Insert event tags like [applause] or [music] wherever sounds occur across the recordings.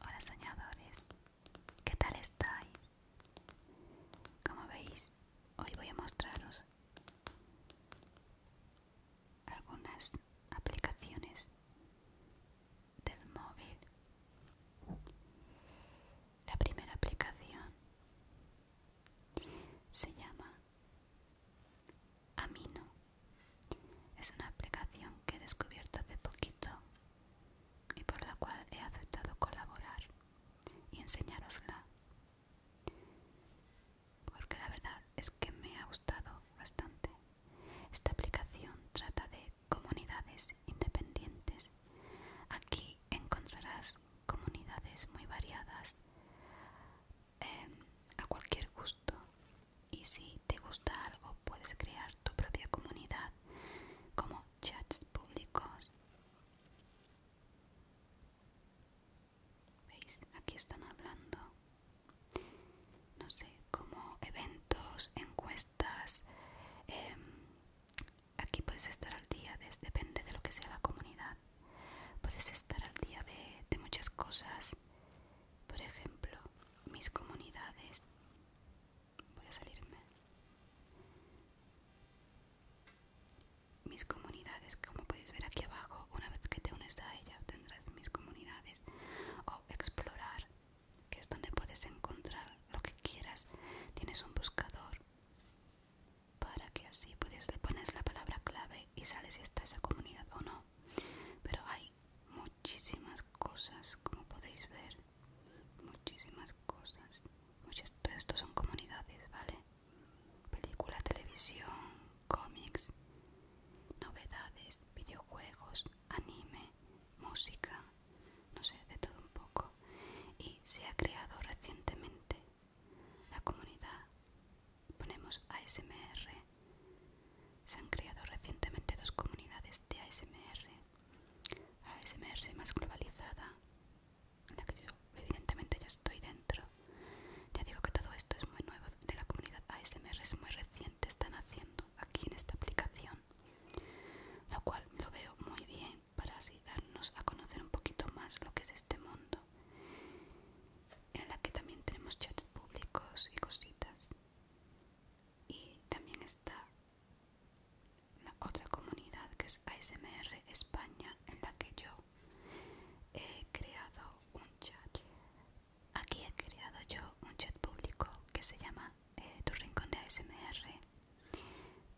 Hola soñadores, ¿qué tal estáis? Como veis, hoy voy a mostraros algunas aplicaciones del móvil. La primera aplicación se llama Amino. Es una aplicación que he descubierto hace poquito y por la cual he aceptado colaborar y enseñarosla porque la verdad es que me ha gustado bastante. Esta aplicación trata de comunidades independientes. Aquí encontrarás comunidades muy variadas em, a cualquier gusto y si te gusta algo puedes crear tu propia comunidad como chats públicos ¿Veis? Aquí están hablando. No sé, como eventos, encuestas. Em, aquí puedes estar al día, depende de lo que sea la comunidad. Puedes estar al día de, muchas cosas. Por ejemplo, mis comunidades. Voy a salirme. Mis comunidades, como puedes ver aquí abajo, una vez que te unes a ella tendrás mis comunidades o explorar que es donde puedes encontrar lo que quieras tienes un buscador para que así puedes le pones la palabra clave y sales si está esa comunidad o no pero hay muchísimas cosas como podéis ver muchísimas cosas muchas todo esto son comunidades vale película televisión cómics, novedades, videojuegos, anime, música, no sé, de todo un poco. Y se ha creado recientemente la comunidad, ponemos ASMR, se han creado recientemente dos comunidades de ASMR, la ASMR más globalizada, en la que yo evidentemente ya estoy dentro, ya digo que todo esto es muy nuevo de la comunidad ASMR, es muy reciente, están haciendo aquí en esta aplicación, lo cual lo veo muy bien para así darnos a conocer un poquito más lo que es este mundo, en la que también tenemos chats públicos y cositas. Y también está la otra comunidad que es ASMR España, en la que yo he creado un chat Aquí he creado yo un chat público que se llama eh, Tu Rincón de ASMR,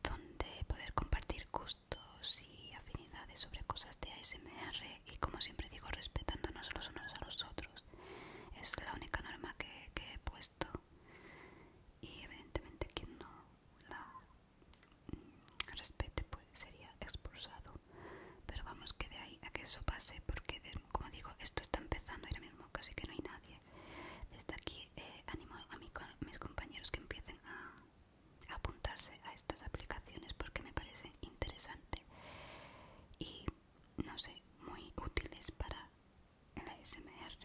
donde poder compartir gustos y afinidades sobre cosas de ASMR y como siempre digo respetándonos los unos a los otros. Es la única norma que, he puesto y evidentemente quien no la mm, respete pues sería expulsado pero vamos que de ahí a que eso pase porque como digo esto está empezando ahora mismo casi que no hay nadie desde aquí eh, animo a mis compañeros que empiecen a, apuntarse a estas aplicaciones porque me parecen interesantes y no sé muy útiles para la ASMR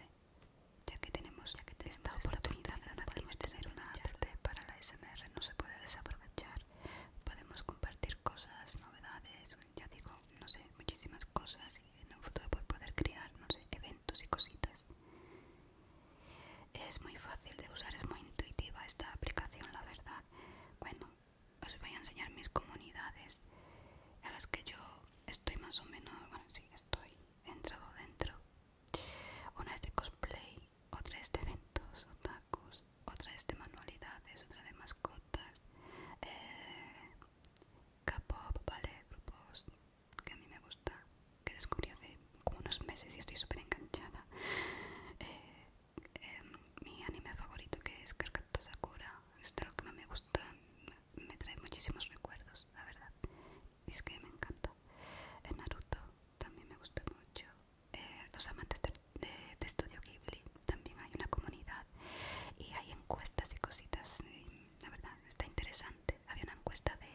ya que tenemos, ya que tenemos esta, oportunidad, de para la ASMR no se puede desaprovechar podemos compartir cosas, novedades, ya digo, no sé, muchísimas cosas y en el futuro poder crear, no sé, eventos y cositas. Es muy fácil de usar, es muy intuitiva esta aplicación, la verdad. Bueno, os voy a enseñar mis comunidades a las que yo estoy más o menos, bueno, sí, estoy entrado dentro. Una es de cosplay, otra de este eventos, otakus, otra de este manualidades, otra de mascotas, eh, K-pop, vale, grupos que a mí me gusta, que descubrí hace como unos meses y estoy súper enganchada. Eh, em, mi anime favorito que es Karkato Sakura, es lo que más me gusta, me trae muchísimos recuerdos, la verdad. Y es que me encanta. Naruto también me gusta mucho. Eh, los amantes de, Estudio Ghibli, también hay una comunidad y hay encuestas y cositas, la verdad está interesante. Había una encuesta de,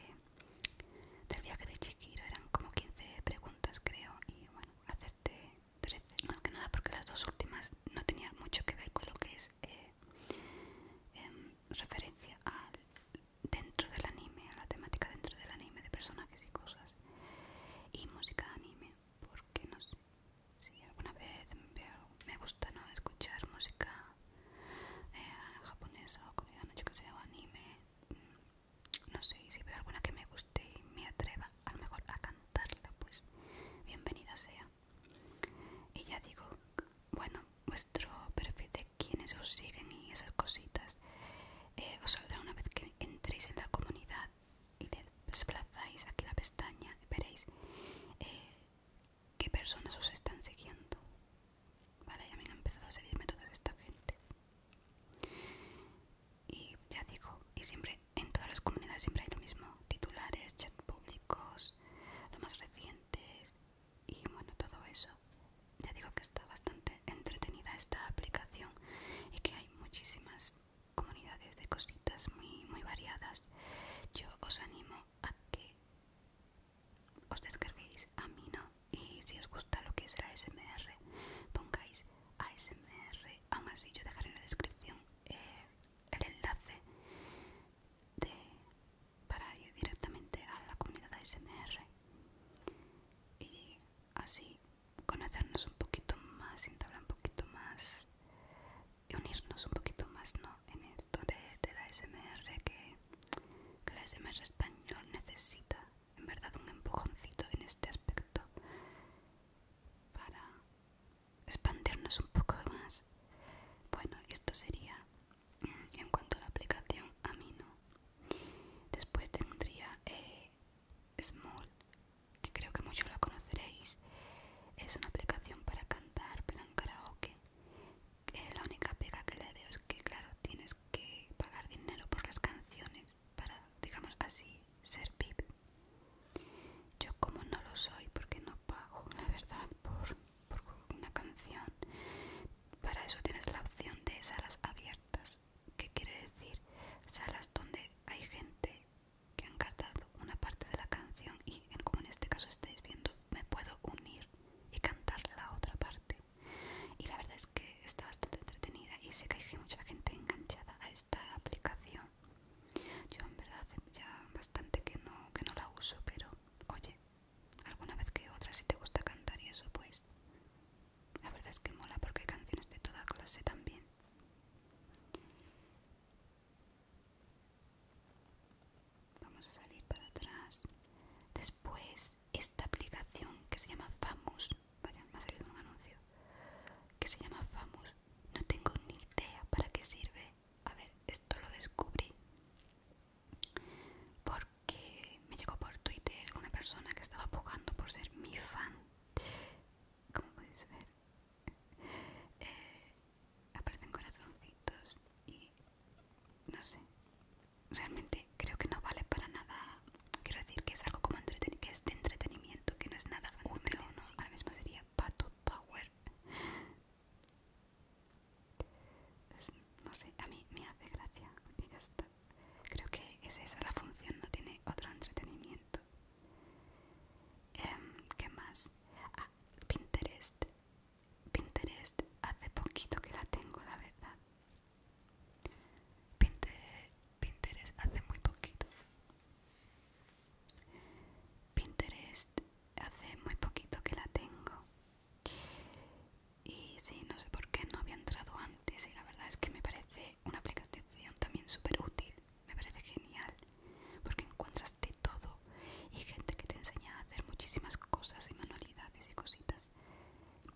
del viaje de Chiquiro, eran como 15 preguntas creo, y bueno, hacerte 13, más que nada porque las dos últimas no tenían mucho que ver con lo que es eh, em, referencia dentro del anime, a la temática dentro del anime de personajes y cosas y música anime porque no sé si alguna vez veo, me gusta no escuchar música eh, japonesa o coreana, yo que sé, o anime, mm, no sé, si veo alguna que me guste y me atreva a mejor a cantarla, pues bienvenida sea. Y ya digo, bueno, vuestro perfil de quienes os siguen y esas cositas eh, os saldrá una vez que entréis en la comunidad y desplazáis aquí la pestaña, veréis eh, qué personas os están siguiendo. Vale, ya me han empezado a seguirme toda esta gente. Y ya digo, y siempre en todas las comunidades siempre hay lo mismo, titulares, chats públicos, lo más recientes y bueno, todo eso. Ya digo que está bastante entretenida esta aplicación y que hay muchísimas comunidades de cositas muy, muy variadas. Yo os animo a que os descarguéis a no y si os gusta lo que es la smr pongáis smr Aún así, yo dejaré en la descripción eh, el enlace de, para ir directamente a la comunidad ASMR. Y así conocernos un poquito más, entablar un poquito más y unirnos un poquito más en esto de, la SMR que, la SMR español necesita en verdad un empujoncito en este aspecto para expandirnos un poco más. Bueno, esto sería mm, en cuanto a la aplicación a mí no. Después tendría eh, Small, que creo que muchos lo conoceréis, es una aplicación para cantar plan karaoke. la única pega que le doy es que, claro, tienes que pagar dinero por las canciones para, digamos así, ser VIP. Yo, como no lo soy, porque no pago, la verdad, por una canción, para eso tienes la opción de salas abiertas que quiere decir salas donde hay gente que han cantado una parte de la canción y en, como en este caso estáis viendo me puedo unir y cantar la otra parte y la verdad es que está bastante entretenida y sé que hay mucha gente enganchada a esta aplicación yo en verdad ya bastante que no, que no la uso pero oye alguna vez que otra si te gusta cantar y eso pues la verdad es que mola porque hay canciones de toda clase también. Vamos a salir para atrás. Después, esta aplicación que se llama Famous. Vaya, me ha salido un anuncio. Que se llama Famous. No tengo ni idea para qué sirve. A ver, esto lo descubrí. Porque me llegó por Twitter una persona que estaba pujando por ser mi fan como podéis ver eh, aparecen corazoncitos y no sé realmente creo que no vale para nada quiero decir que es algo como entreten que es de entretenimiento que no es nada útil no ahora mismo sería pato power no sé a mí me hace gracia y ya está creo que es esa la función no tiene otro entretenimiento Em, ¿Qué más? Ah, Pinterest. Pinterest hace poquito que la tengo, la verdad. Pinterest hace muy poquito. Pinterest hace muy poquito que la tengo. Y sí, no sé por qué no había entrado antes y la verdad es que me parece una aplicación también súper útil, me parece genial, porque encuentras de todo y gente que te enseña a hacer muchísimas cosas y manualidades y cositas.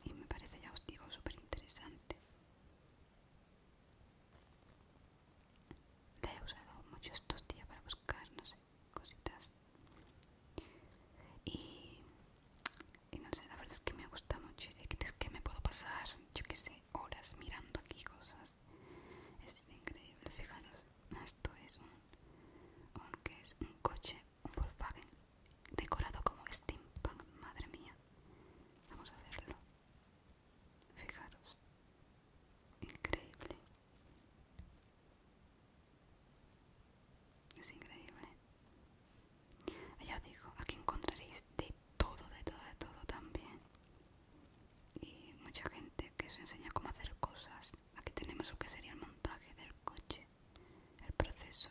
Y me parece, ya os digo, súper interesante. La he usado mucho estos días para buscar, no sé, cositas. Y, no sé, la verdad es que me gusta mucho. Y es que me puedo pasar, yo qué sé, horas mirando aquí cosas. Es increíble, fijaros, esto es un, Aunque es un coche, un Volkswagen decorado como steampunk, madre mía. Vamos a verlo. Fijaros. Increíble. Es increíble. Ya os digo, aquí encontraréis de todo, de todo, de todo también. Y mucha gente que se enseña cómo hacer cosas. Aquí tenemos lo que sería el montaje del coche, el proceso.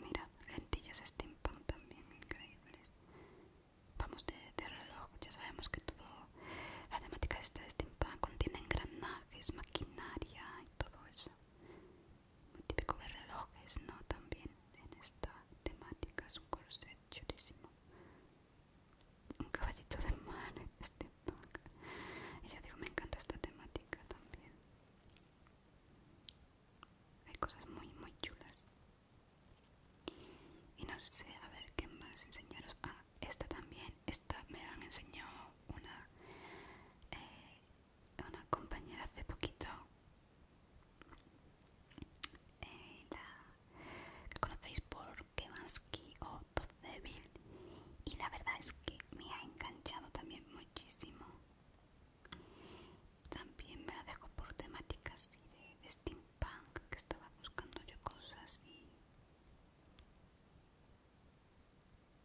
Mira, lentillas steampunk también, increíbles. Vamos de, reloj, ya sabemos que todo, la temática de este steampunk contiene engranajes, maquinaria y todo eso. Muy típico de relojes, ¿no? También en esta temática es un corset chulísimo. Un caballito de mar, [laughs] este Y ya digo, me encanta esta temática también. Hay cosas muy, muy chulas. Y no sé, a ver qué más enseñaros. Ah, esta también. Esta me la han enseñado una eh, una compañera hace poquito que eh, conocéis por Kevansky o Todd y la verdad es que me ha enganchado también muchísimo también me la dejo por temáticas de, de steampunk que estaba buscando yo cosas y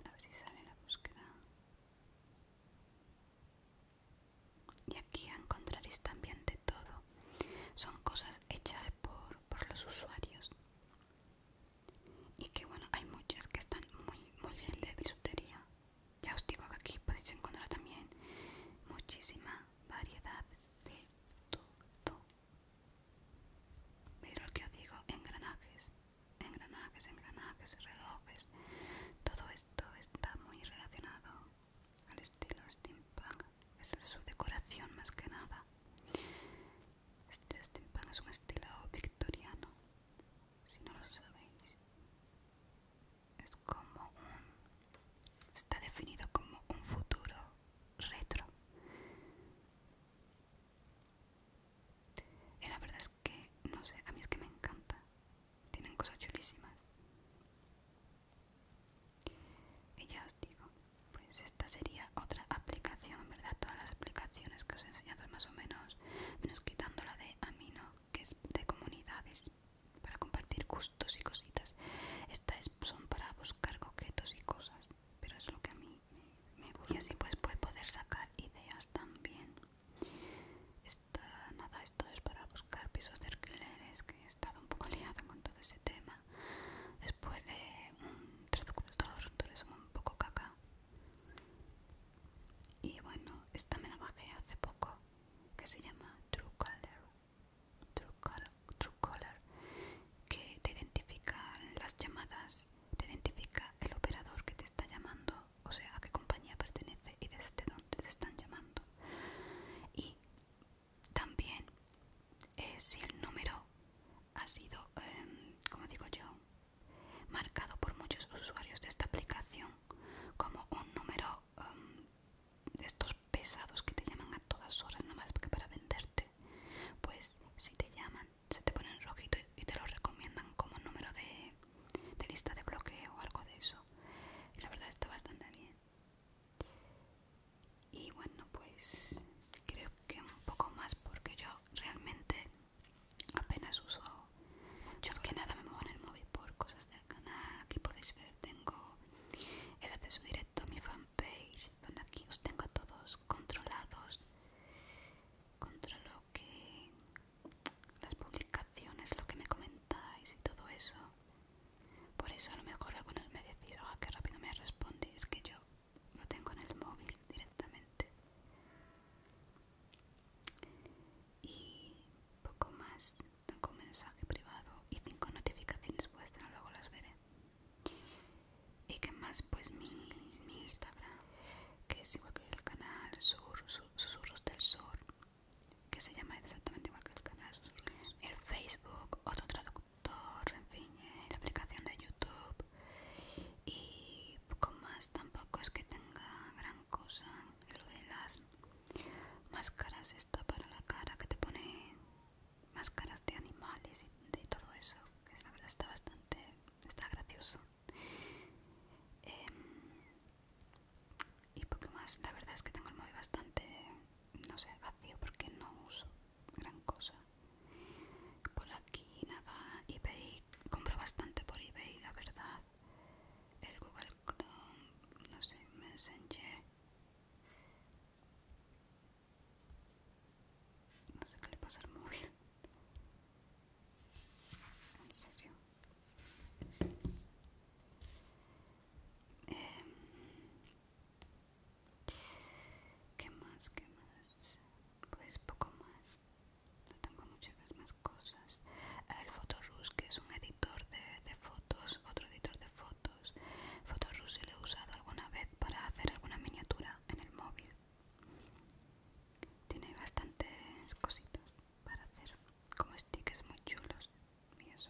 a ver si sale la búsqueda y aquí encontraréis este también de todo son cosas hechas por, por los usuarios y que bueno hay muchas que están muy muy bien de bisutería ya os digo que aquí podéis encontrar también muchísima variedad de todo pero que os digo engranajes engranajes, engranajes, relojes, todo esto está muy relacionado al estilo steampunk, es su decoración más que nada. Este steampunk es un estilo victoriano, si no lo sabéis. Es como un... está definido como un futuro retro. Y eh, la verdad es que, no sé, a mí es que me encanta. Tienen cosas chulísimas. Y ya os digo, pues esta sería otra aplicación, en verdad todas las aplicaciones que os he enseñado más o menos, menos quitando la de Amino, que es de comunidades para compartir gustos y cositas. Estas son para buscar coquetos y cosas pero es lo que a mí me, gusta y así pues puede poder sacar ideas también Está, nada, esto es para buscar pisos de alquileres que he estado un poco [laughs] liado con todo ese tema después eh, un traductor, son un poco caca y bueno, esta me la bajé hace poco que se llama Truecaller True Color, True Color, que te identifica las llamadas te identifica el operador que te está llamando, o sea, a qué compañía pertenece y desde dónde te están llamando. Y también es eh, si el número ha sido, em, como digo yo, marcado por muchos usuarios de esta aplicación como un número em, de estos pesados que te llaman a todas horas nada más porque para venderte, pues si te llaman se te ponen rojito y te lo recomiendan como número de, lista de bloqueo o algo de eso. Y la verdad está bastante bien. Y bueno, pues creo que un poco más porque yo realmente apenas uso... Yo es que nada me muevo en el móvil por cosas del canal. Aquí podéis ver, tengo el acceso directo a mi fanpage, donde aquí os tengo a todos controlados contra lo que las publicaciones, lo que me comentáis y todo eso. Por eso a lo mejor algunos me decís, a ah, qué rápido me respondes, que yo lo tengo en el móvil directamente. Y poco más, tengo un mensaje privado y cinco notificaciones vuestras, luego las veré y que más pues mi, Instagram que es igual que el canal Susurros del Sur que se llama exactamente igual que el canal Sur. el Facebook, otro traductor, en fin, la aplicación de YouTube y poco más tampoco es que tenga gran cosa lo de las máscaras esta para la cara que te pone máscaras de animales y de todo eso que la verdad está bastante está gracioso Em, y poco más la verdad es que tengo el móvil bastante no sé vacío porque no uso gran cosa por aquí nada ebay compro bastante por ebay la verdad el google chrome no sé messenger no sé qué le pasa al móvil. En serio. Em, ¿Qué más? ¿Qué más? Pues poco más. No tengo muchas más cosas. El Fotorus, que es un editor de, fotos, otro editor de fotos. Fotorus lo he usado alguna vez para hacer alguna miniatura en el móvil. Tiene bastantes cositas para hacer, como stickers muy chulos y eso.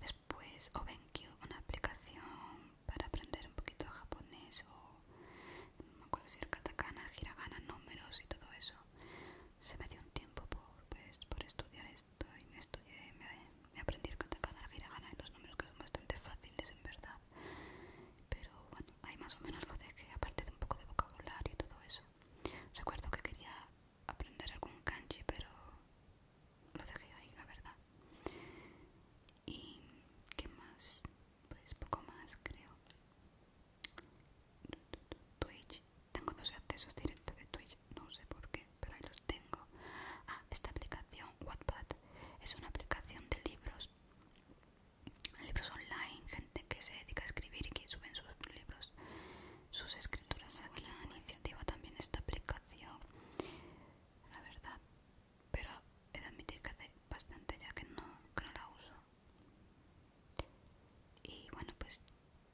Después que una aplicación para aprender un poquito japonés o no me acuerdo si el katakana, hiragana, números y todo eso. Se me dio un tiempo por, pues, por estudiar esto y me estudié, me, me aprendí el katakana, el hiragana y los números que son bastante fáciles en verdad pero bueno ahí más o menos lo dejé aparte de un poco de vocabulario y todo eso recuerdo que quería aprender algún kanji pero lo dejé ahí la verdad y qué más pues poco más creo Twitch tengo dos accesos directos de Twitch no sé por qué pero ahí los tengo ah esta aplicación Wattpad es una aplicación de libros libros online, gente que se dedica a escribir y que suben sus libros, sus escrituras aquí. La iniciativa también esta aplicación, la verdad, pero he de admitir que hace bastante ya que no, la uso. Y bueno, pues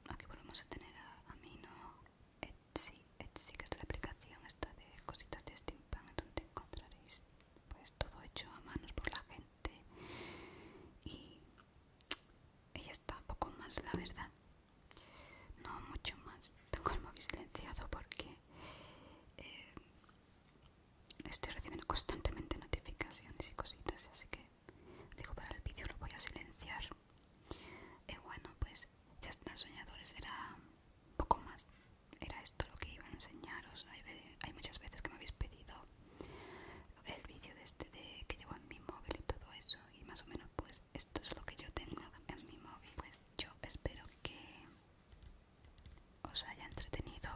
aquí volvemos a tener a, Amino ¿no? Etsy, Etsy, que es la aplicación esta de cositas de Steampunk, donde encontraréis pues todo hecho a manos por la gente y ella está un poco más la verdad no mucho más tengo el móvil silenciado porque eh, estoy recibiendo constantemente notificaciones y cositas así que digo para el vídeo lo voy a silenciar y bueno pues ya están soñadores era un poco más era esto lo que iba a enseñaros hay, muchas veces que me habéis pedido el vídeo de este de que llevo en mi móvil y todo eso y más o menos pues esto es lo que yo tengo en mi móvil pues yo espero que os haya entretenido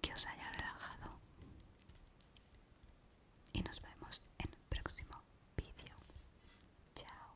que os haya relajado y nos vemos en el próximo vídeo chao